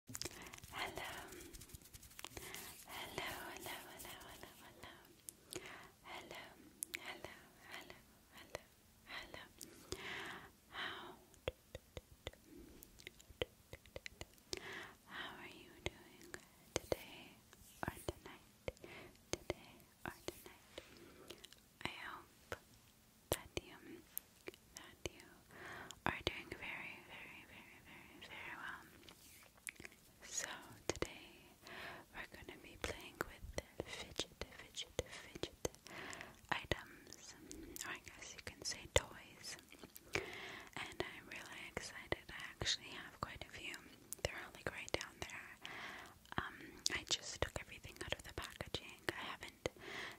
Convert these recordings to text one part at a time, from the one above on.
Hello. Hello, hello, hello, hello, hello. Hello, hello, hello, hello, hello. How How are you doing today or tonight? Today or tonight? I hope that you that you are doing very, very, very, very, very well. So, today we're going to be playing with fidget, fidget, fidget items, I guess you can say toys. And I'm really excited. I actually have quite a few. They're all like right down there. Um, I just took everything out of the packaging. I haven't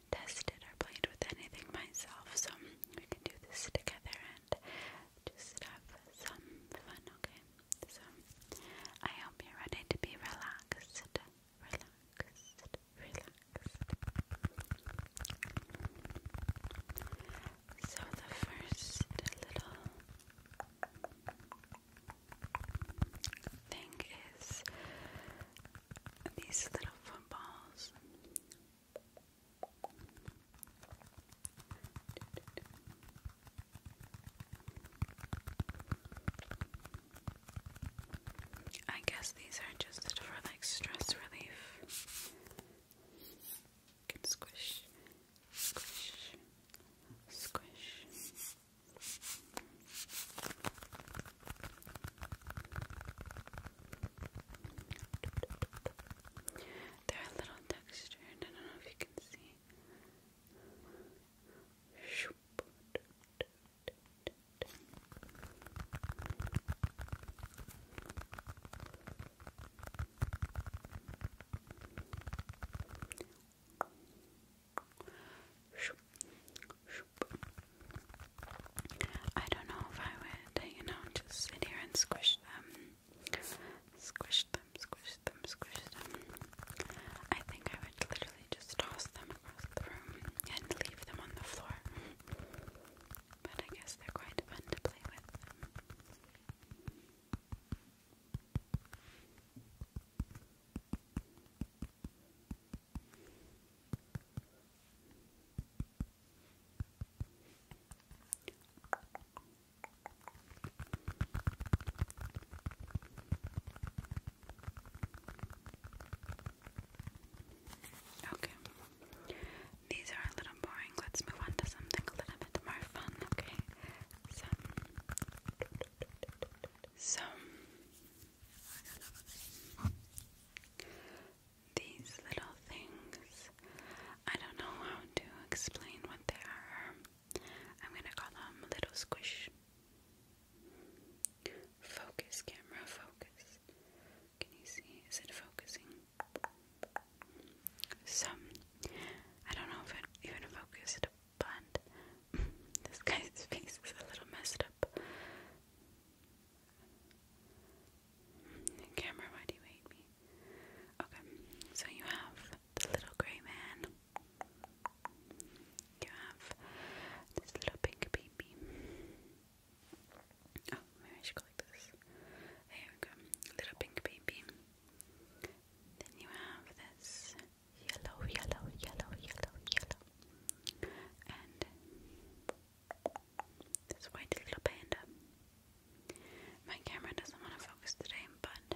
tested or played with anything myself, so we can do this together and just have some fun, okay? So, I hope you're ready to be relaxed, relaxed, relaxed. So, the first little thing is these little footballs. I guess these are just for like stress relief. You can squish, squish, squish. They're a little textured. I don't know if you can see. I don't know if I would, you know, just sit here and squish them. Squish them, squish them, squish them. I think I would literally just toss them across the room and leave them on the floor. But I guess they're quite fun to play with. Okay. These are a little boring. Let's move on to something a little bit more fun, okay? So, these little things. I don't know how to explain what they are. I'm gonna call them little squish. Focus, camera, focus. Can you see? Is it focusing? So, I don't know if it even focused, but this guy's face is a little messed up. Camera, why do you hate me? Okay, so you have the little grey man. You have this little pink baby. Oh, maybe I should go like this. There we go. Little pink baby. Then you have this yellow, yellow, yellow, yellow, yellow. And this white little panda. My camera doesn't want to focus today, but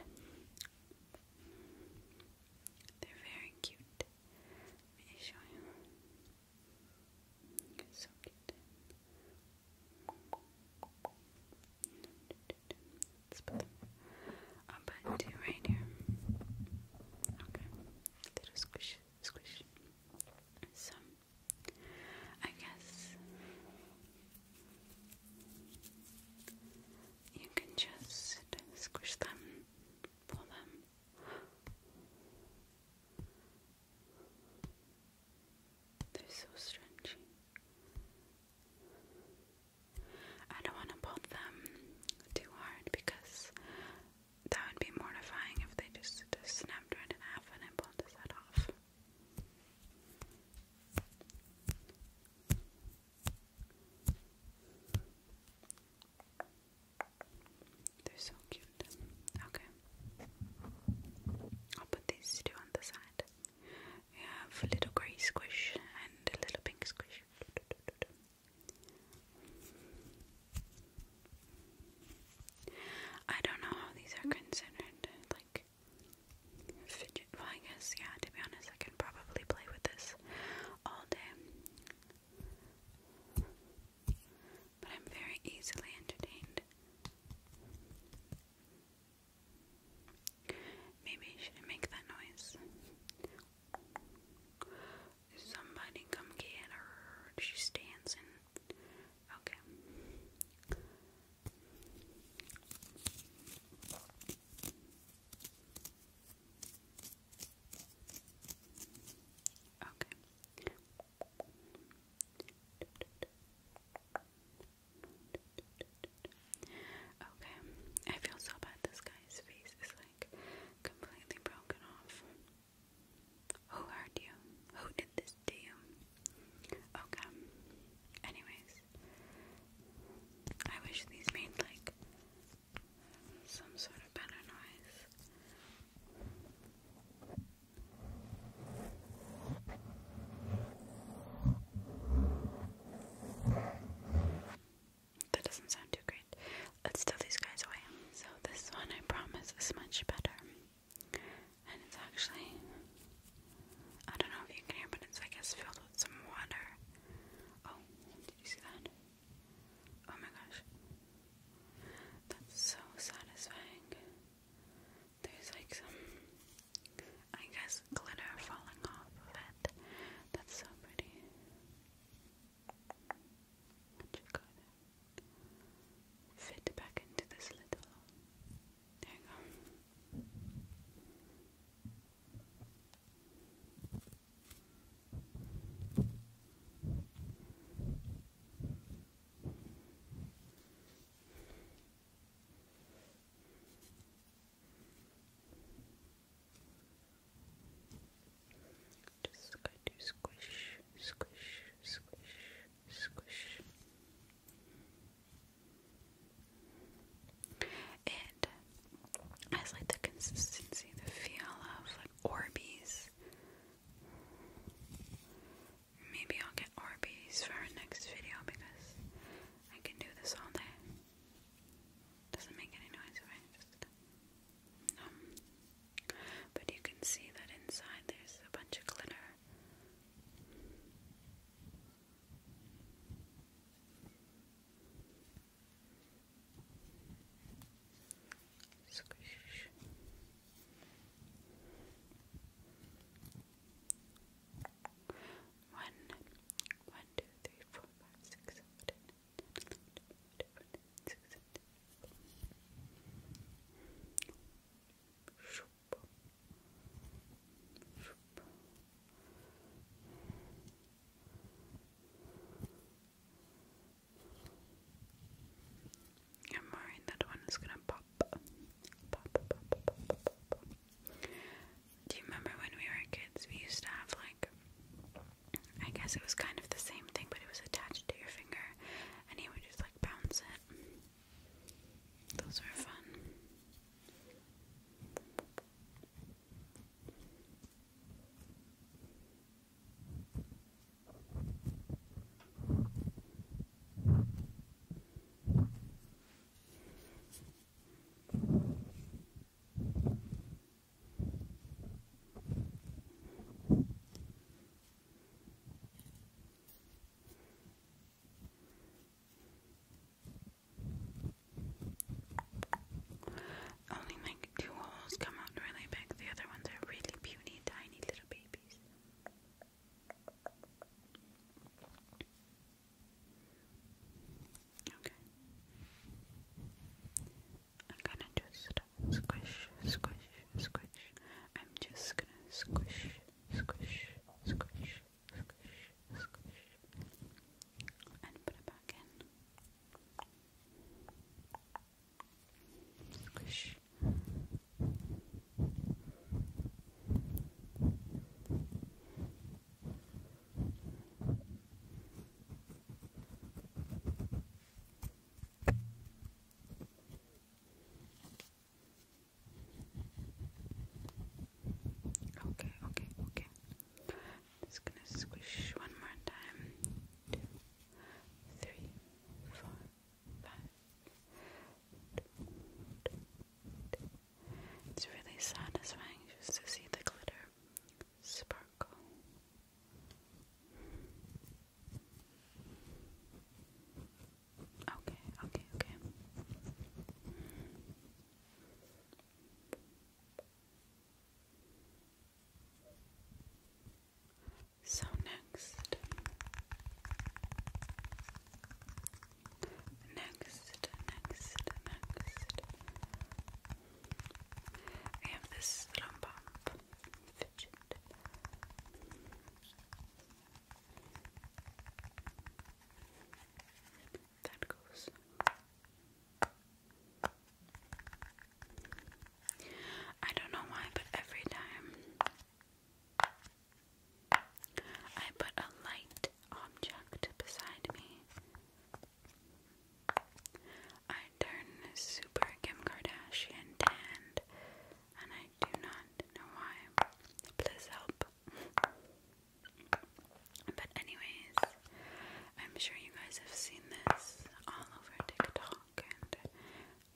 they're very cute. Let me show you. so cute. Let's put them up and two right here. Okay. Little squishes squish. So, I guess you can just squish them, pull them. They're so stretchy. I don't want to pull them too hard because that would be mortifying if they just, just snapped right in half and I pulled his head off. They're so cute. Okay. I'll put these two on the side. We have a little grey squish and a little pink squish. I don't know how these are considered like Well, I guess, yeah, to be honest, I can probably play with this all day. But I'm very easily entertained. Maybe I should make that noise. Somebody come get her. She's dancing. Okay. Okay. Okay. I feel so bad this guy's face is like completely broken off. Who hurt you? Who did this to you? Okay. Anyways, I wish these made like some sort of better noise. That doesn't sound great. Let's throw these guys away. So this one, I promise, is much better. And it's actually, I don't know if you can hear, but it's, I guess, filled with some water. Oh, did you see that? Oh my gosh. That's so satisfying. There's like some, I guess, glitter falling off of it. That's so pretty. And you fit back into this little there you go. Just going to squish, squish, squish, squish. It has like the consistency, the feel of like Orbeez. Maybe I'll get Orbeez for our next video because I can do this all day. Doesn't make any noise if I just um, but you can see that inside there's a bunch of glitter. Squish. I'm worried that one is gonna pop. Pop, pop, pop, pop, pop, pop. Do you remember when we were kids? We used to have like I guess it was kind of the same thing, but it was attached to your finger, and he would just like bounce it. Those were fun. Only like two holes come out really big, the other ones are really puny, tiny little babies. Okay. I'm gonna just squish, squish, squish. I'm just gonna squish, squish, squish, squish, squish. And put it back in. Squish. Squish. Okay, okay, okay. Just gonna squish one more time. Two, three, four, It's really satisfying just to see the glitter sparkle. Okay, okay, okay. So next, next, next, next, I have this little Fidget. That goes. I don't know why, but every time I put a light object beside me, I turn super Kim Kardashian tanned, and I do not know why. Please help. But anyways, I'm sure you guys have seen this all over TikTok and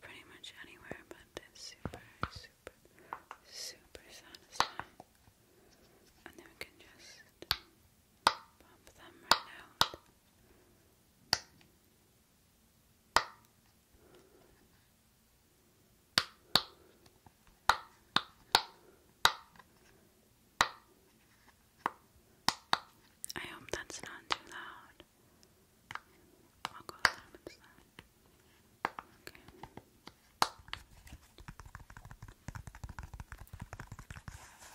pretty much anywhere, but it's super, super, super satisfying. And then we can just pump them right out. I hope that's not too loud. I'll go a little bit slow. Okay.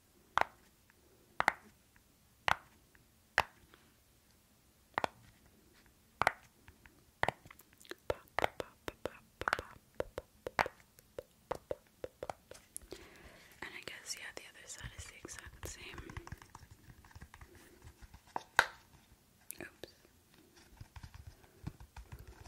And I guess, yeah, the other side is the exact same. Oops.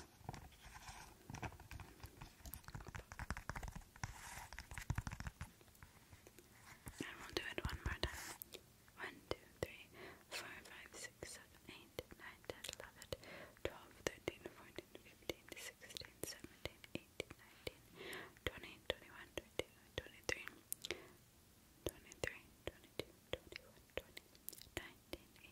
And we'll do it one more time. One, two, three, four, five, six, seven, eight, nine, ten, eleven, twelve, thirteen, fourteen, fifteen, sixteen, seventeen, eighteen, nineteen, twenty, twenty-one, twenty-two, twenty-three, twenty-three, twenty-two, twenty-one, twenty, nineteen,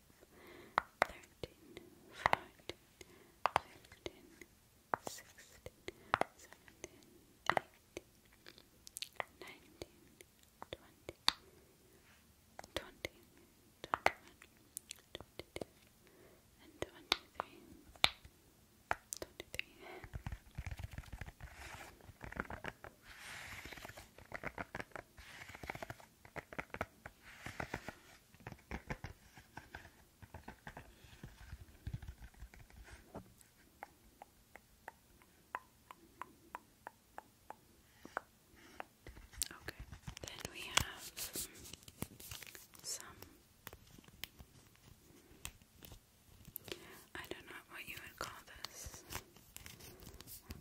thirteen, fourteen, fifteen, sixteen, seventeen, eighteen, nineteen, twenty, twenty, twenty-one, twenty-two, and twenty-three. Twenty-three. Twenty-four, twenty-five, twenty-six, twenty-seven, twenty-eight, twenty-nine, thirty, thirty-one, thirty-two, thirty-three, thirty-four, thirty-five, thirty-six, Okay, then we have some. I don't know what you would call this.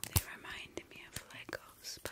They remind me of Legos, but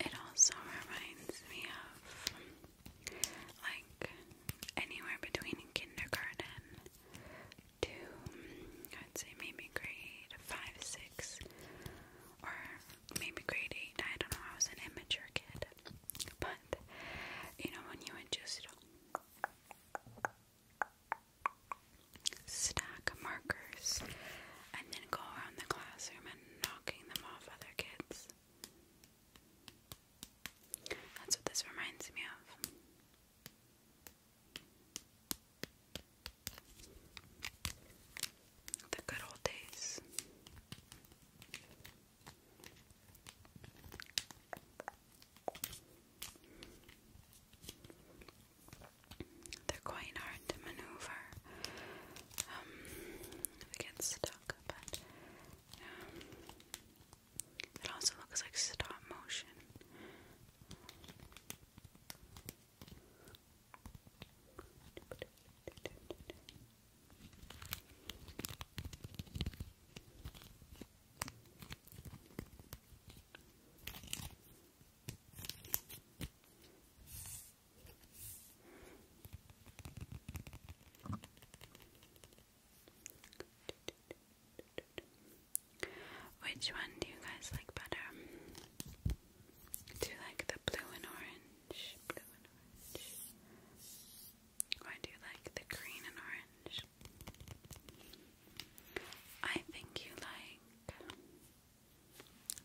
it also reminds me of like anywhere between kindergarten to I'd say maybe grade five, six or maybe grade 8. I don't know, I was an immature kid. But, you know, when you would just stack markers and then go around the classroom and knocking them off other kids. That's what this reminds me of. The good old days. They're quite hard to maneuver. Um, they get stuck, but um, it also looks like stop motion. Which one do you guys like better? Do you like the blue and orange? Blue do you like the green and orange? I think you like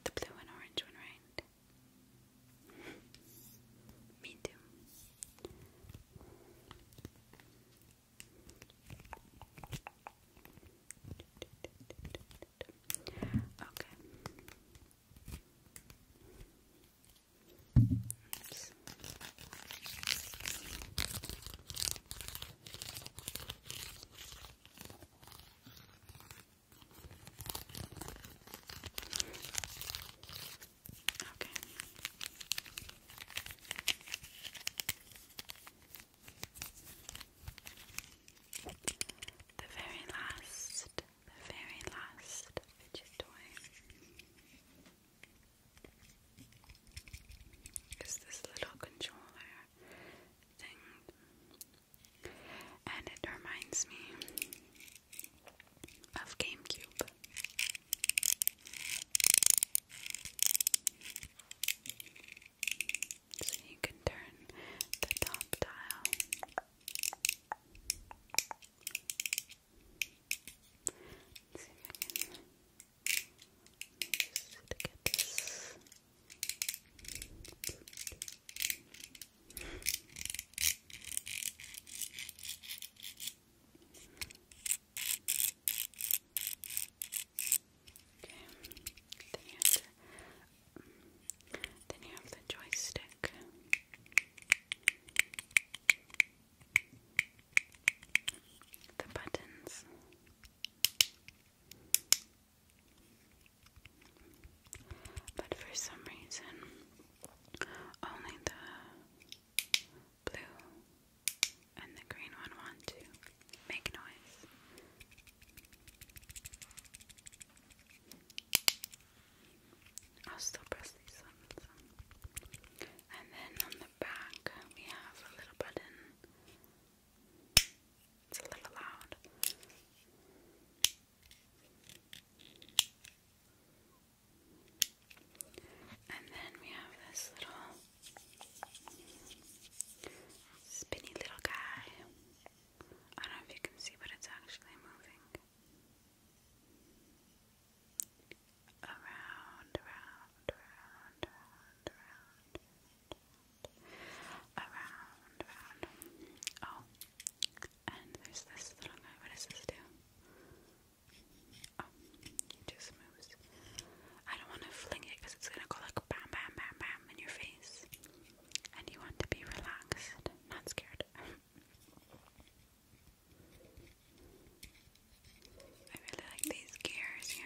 the blue and orange one, right? Me too. Okay. Oops. Okay the very last, the very last fidget toy is this little controller thing, and it reminds me of GameCube. So you can turn the top dial Let's see if I can just get this Okay, the answer then you have the joystick. The buttons. But for some reason, only the blue and the green one want to make noise. I'll still press these ones. And then on the back, we have a little button. It's a little loud. And then we have this little spinny little guy. I don't know if you can see, but it's actually moving around, around, around, around, around, around, around. Oh, and there's this little guy. What does this do? Oh, he just moves. I don't want to fling it because it's gonna go like bam, bam, bam, bam in your face and you want to be relaxed, not scared. I really like these gears here.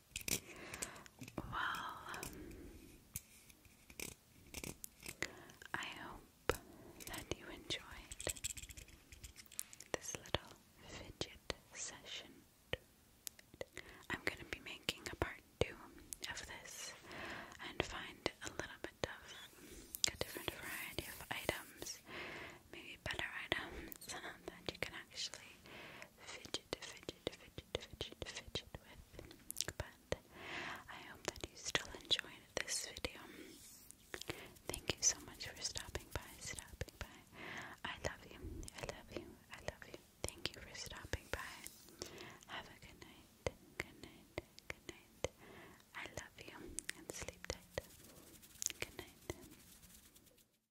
Well, I hope that you enjoyed this little fidget session. I'm going to be making a part two of this and find a little bit of a different variety of items, maybe better items that you can actually fidget, fidget, fidget, fidget, fidget with. But I hope that you still enjoyed this video. Thank you so much for stopping by, stopping by. I love you, I love you, I love you. Thank you for stopping by. Have a good night, good night, good night. I love you and sleep tight. Good night.